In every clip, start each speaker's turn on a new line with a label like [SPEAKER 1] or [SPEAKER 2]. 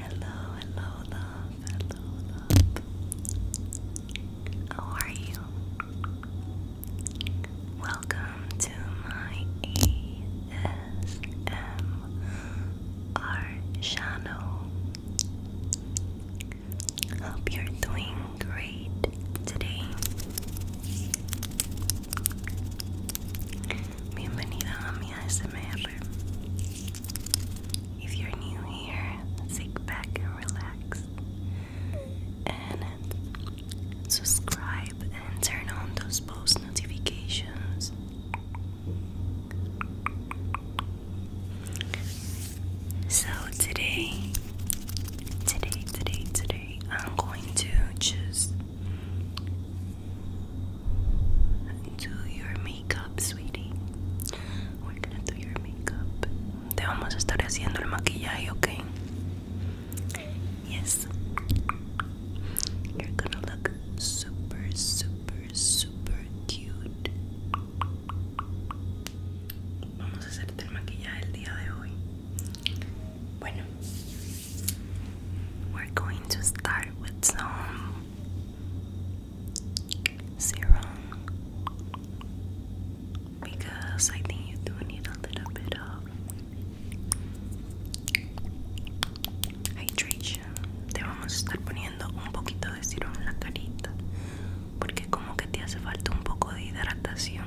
[SPEAKER 1] Hello, hello, love. How are you? Welcome to my ASMR channel. Hope you're doing great today. Bienvenida a mi ASMR. If you're new here, sit back and relax. And subscribe and turn on those post notifications. So today, today, today, today, I'm going to just do your makeup, sweetie. We're gonna do your makeup. Te vamos a estar haciendo el maquillaje, okay? Yes. You're gonna look super, super, super cute. Vamos a hacerte el maquillaje el día de hoy. Bueno, we're going to start with some serum porque creo que you do need a little bit Te vamos a estar poniendo un poquito de serum en la carita porque como que te hace falta un poco de hidratación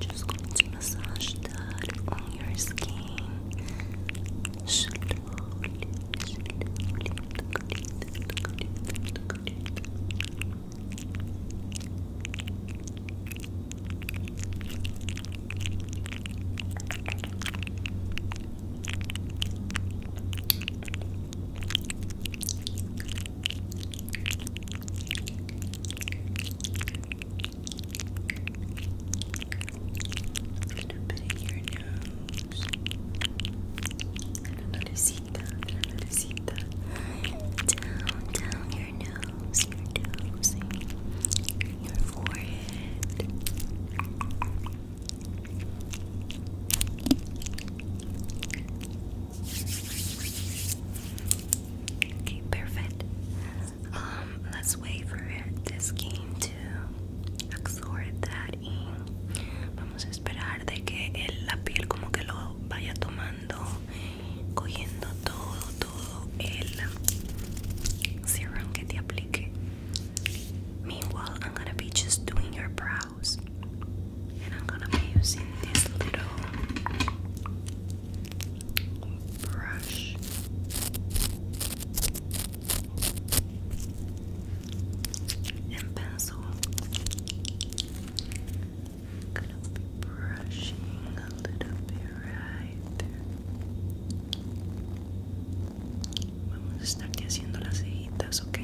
[SPEAKER 1] just going to massage that on your skin. slowly, Little bit your nose. Down, your nose, your forehead. Okay, perfect. Um, let's wait for this skin to absorb that in vamos a esperar de que el, la piel como que lo vaya tomando, cogiendo todo, todo el serum que te aplique. Meanwhile, I'm gonna be just doing your brow And I'm gonna be using this little brush. And pencil. I'm gonna be brushing a little bit right there. Vamos a estarte haciendo las cejitas, ¿ok?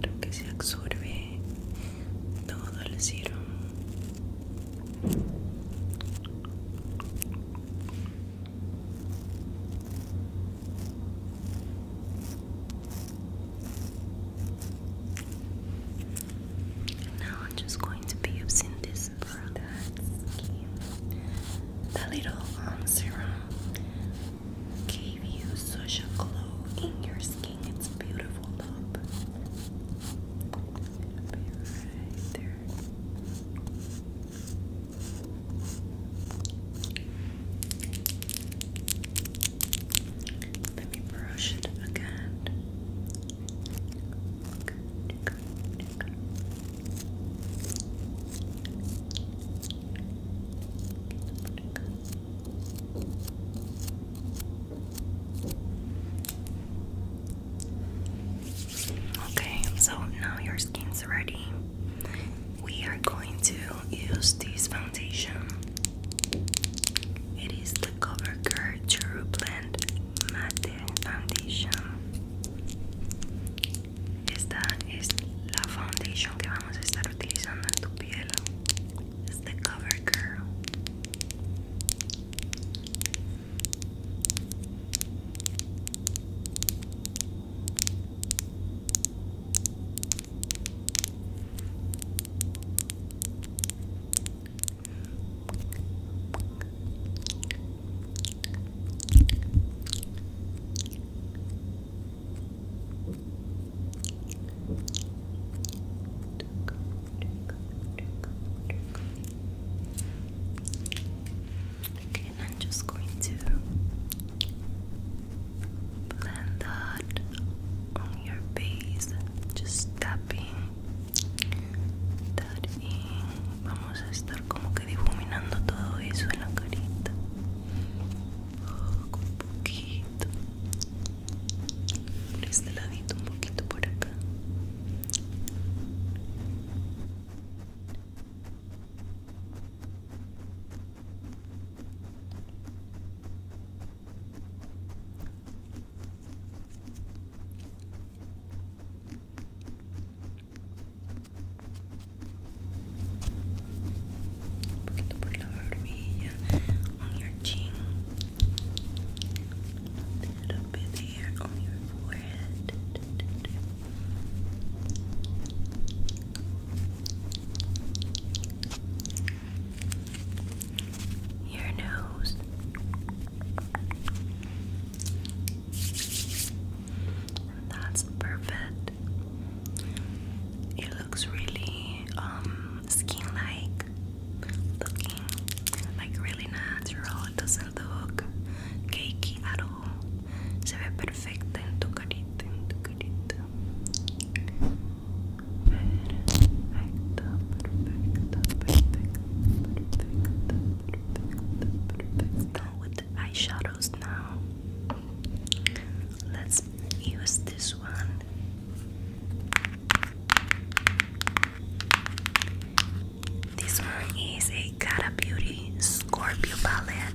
[SPEAKER 1] Creo que se absorbe todo el cielo. Now I'm just going to be using this product, the little um, serum gave you such a glow in your skin. It's beautiful, love. right there. Let me brush it again. Okay, so now your skin's ready. We are going to use this foundation. It is the CoverGirl True Blend Matte Foundation. Esta es la foundation que vamos a estar utilizando en tu piel. Es de CoverGirl. Okay, and I'm just going to blend that on your face just tapping that in vamos a estar como que difuminando todo eso en la carita con un poquito por este un poquito por acá Un poquito por la barbilla, on your chin, a little bit here on your forehead your nose, that's perfect. It looks really um skin-like looking, like really natural. It doesn't look cakey at all. Se With the eyeshadows now. Let's use this one. This one is a Cara Beauty Scorpio palette.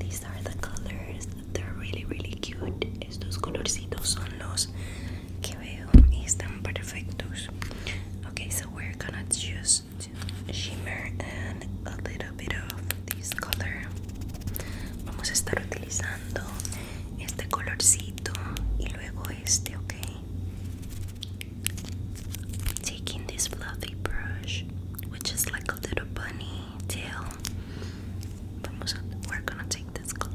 [SPEAKER 1] These are the colors. They're really, really cute. Estos colorcitos son los que veo y están perfectos. Okay, so we're gonna just shimmer and a little bit of this color. Vamos a estar utilizando este colorcito y luego este, okay? taking this fluffy brush, which is like a little bunny tail. we're gonna take this color.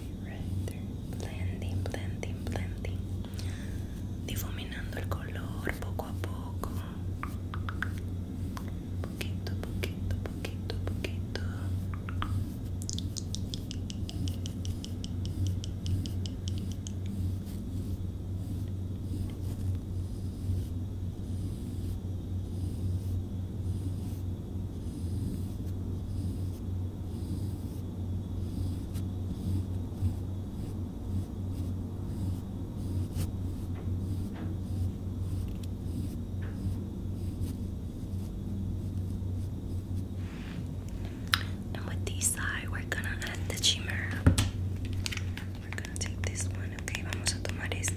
[SPEAKER 1] Blending, blending, blending. Difuminando el color poco a poco. Poquito, poquito, poquito, poquito. And with these side, we're gonna add the shimmer. We're gonna take this one, okay? Vamos a tomar este.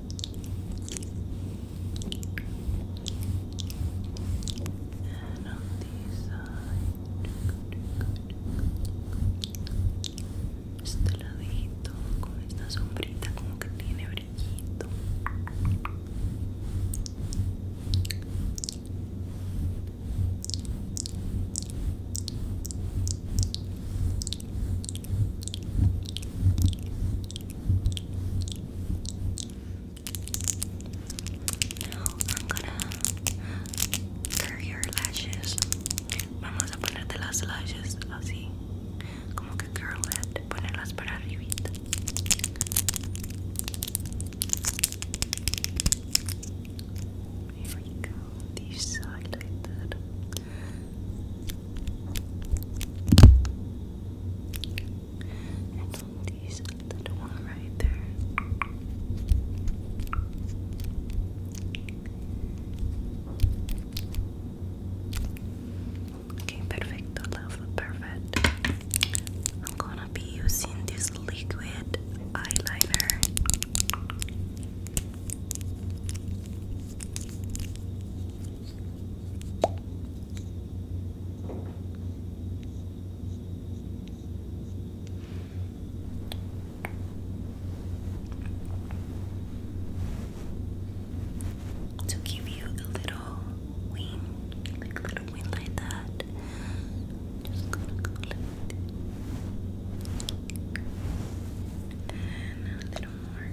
[SPEAKER 1] Este ladito con esta sombrita como que tiene brillito. Now I'm gonna curl your lashes. Vamos a ponerte las lashes así, como que curl it, ponerlas para arribita. Here we go, this and these little one perfect. I'm gonna be using this liquid eyeliner. To give you a little wing, like a little wing like that. Just gonna clip And a little more.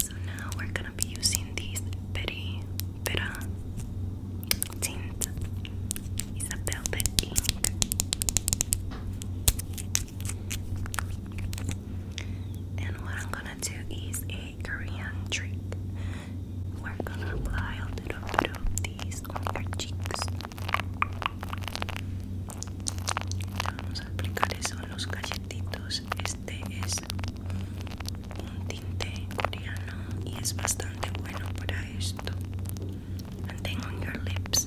[SPEAKER 1] So now we're going gonna using this very better tint. It's And what I'm gonna do is a Korean trick. We're gonna apply a little bit of this on your cheeks. Vamos a aplicar eso en los calletitos. Este es un tinte coreano y es bastante bueno para esto. And then on your lips.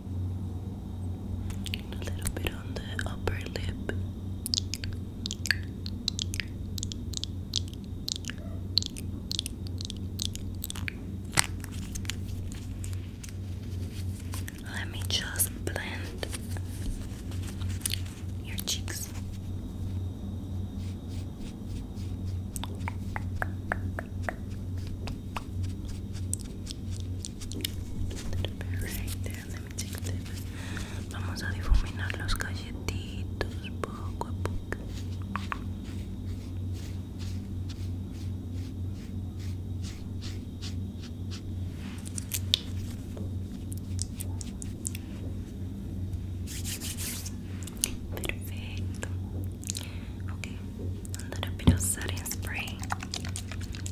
[SPEAKER 1] a little bit on the upper lip. Let me just blend your cheeks. vamos a difuminar los galletitos poco a poco. Perfecto. Okay, Ahora rápido be spray.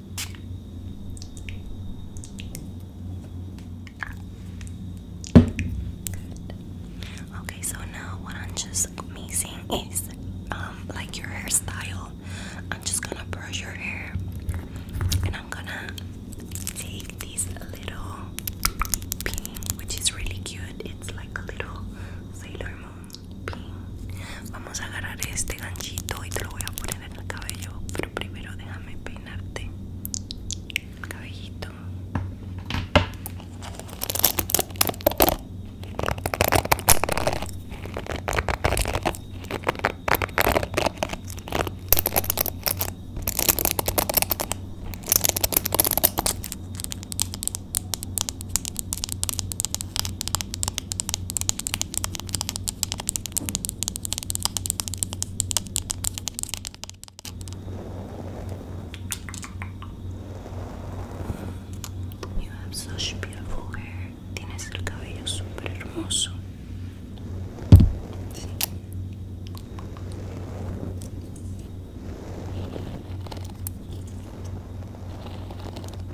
[SPEAKER 1] Good. Okay, so now what I'm just missing is um like your hairstyle. I'm just gonna brush your hair and I'm gonna take this little pin which is really cute. It's like a little Sailor Moon pin. Vamos a agarrar este ganchito y te lo voy a poner el cabello, pero primero déjame peinarte el cabellito. You have such beautiful hair. Tienes el cabello super hermoso.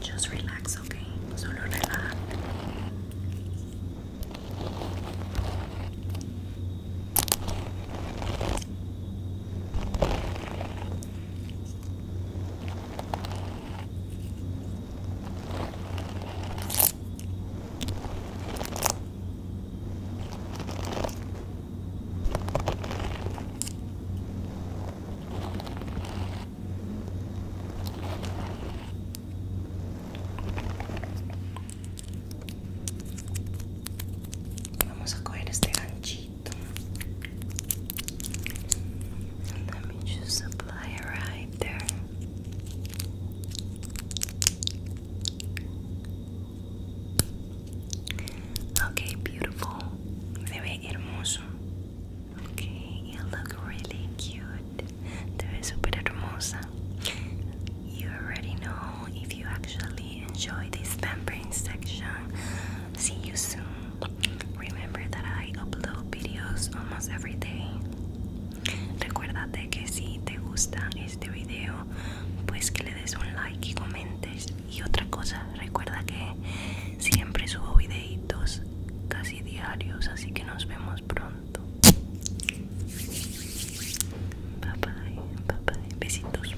[SPEAKER 1] Just relax, okay? Solo relax. Vamos a este ganchito. And let me just apply Okay, beautiful. Se ve hermoso. Okay, you look really cute. Te ves super hermosa. You already know if you actually enjoy this pampering section. See you soon. Remember that I upload videos almost every day. Recuérdate que si te gusta este video, pues que le des un like y comentes. Y otra cosa, recuerda que siempre subo videitos casi diarios, así que nos vemos pronto. Bye bye, besitos.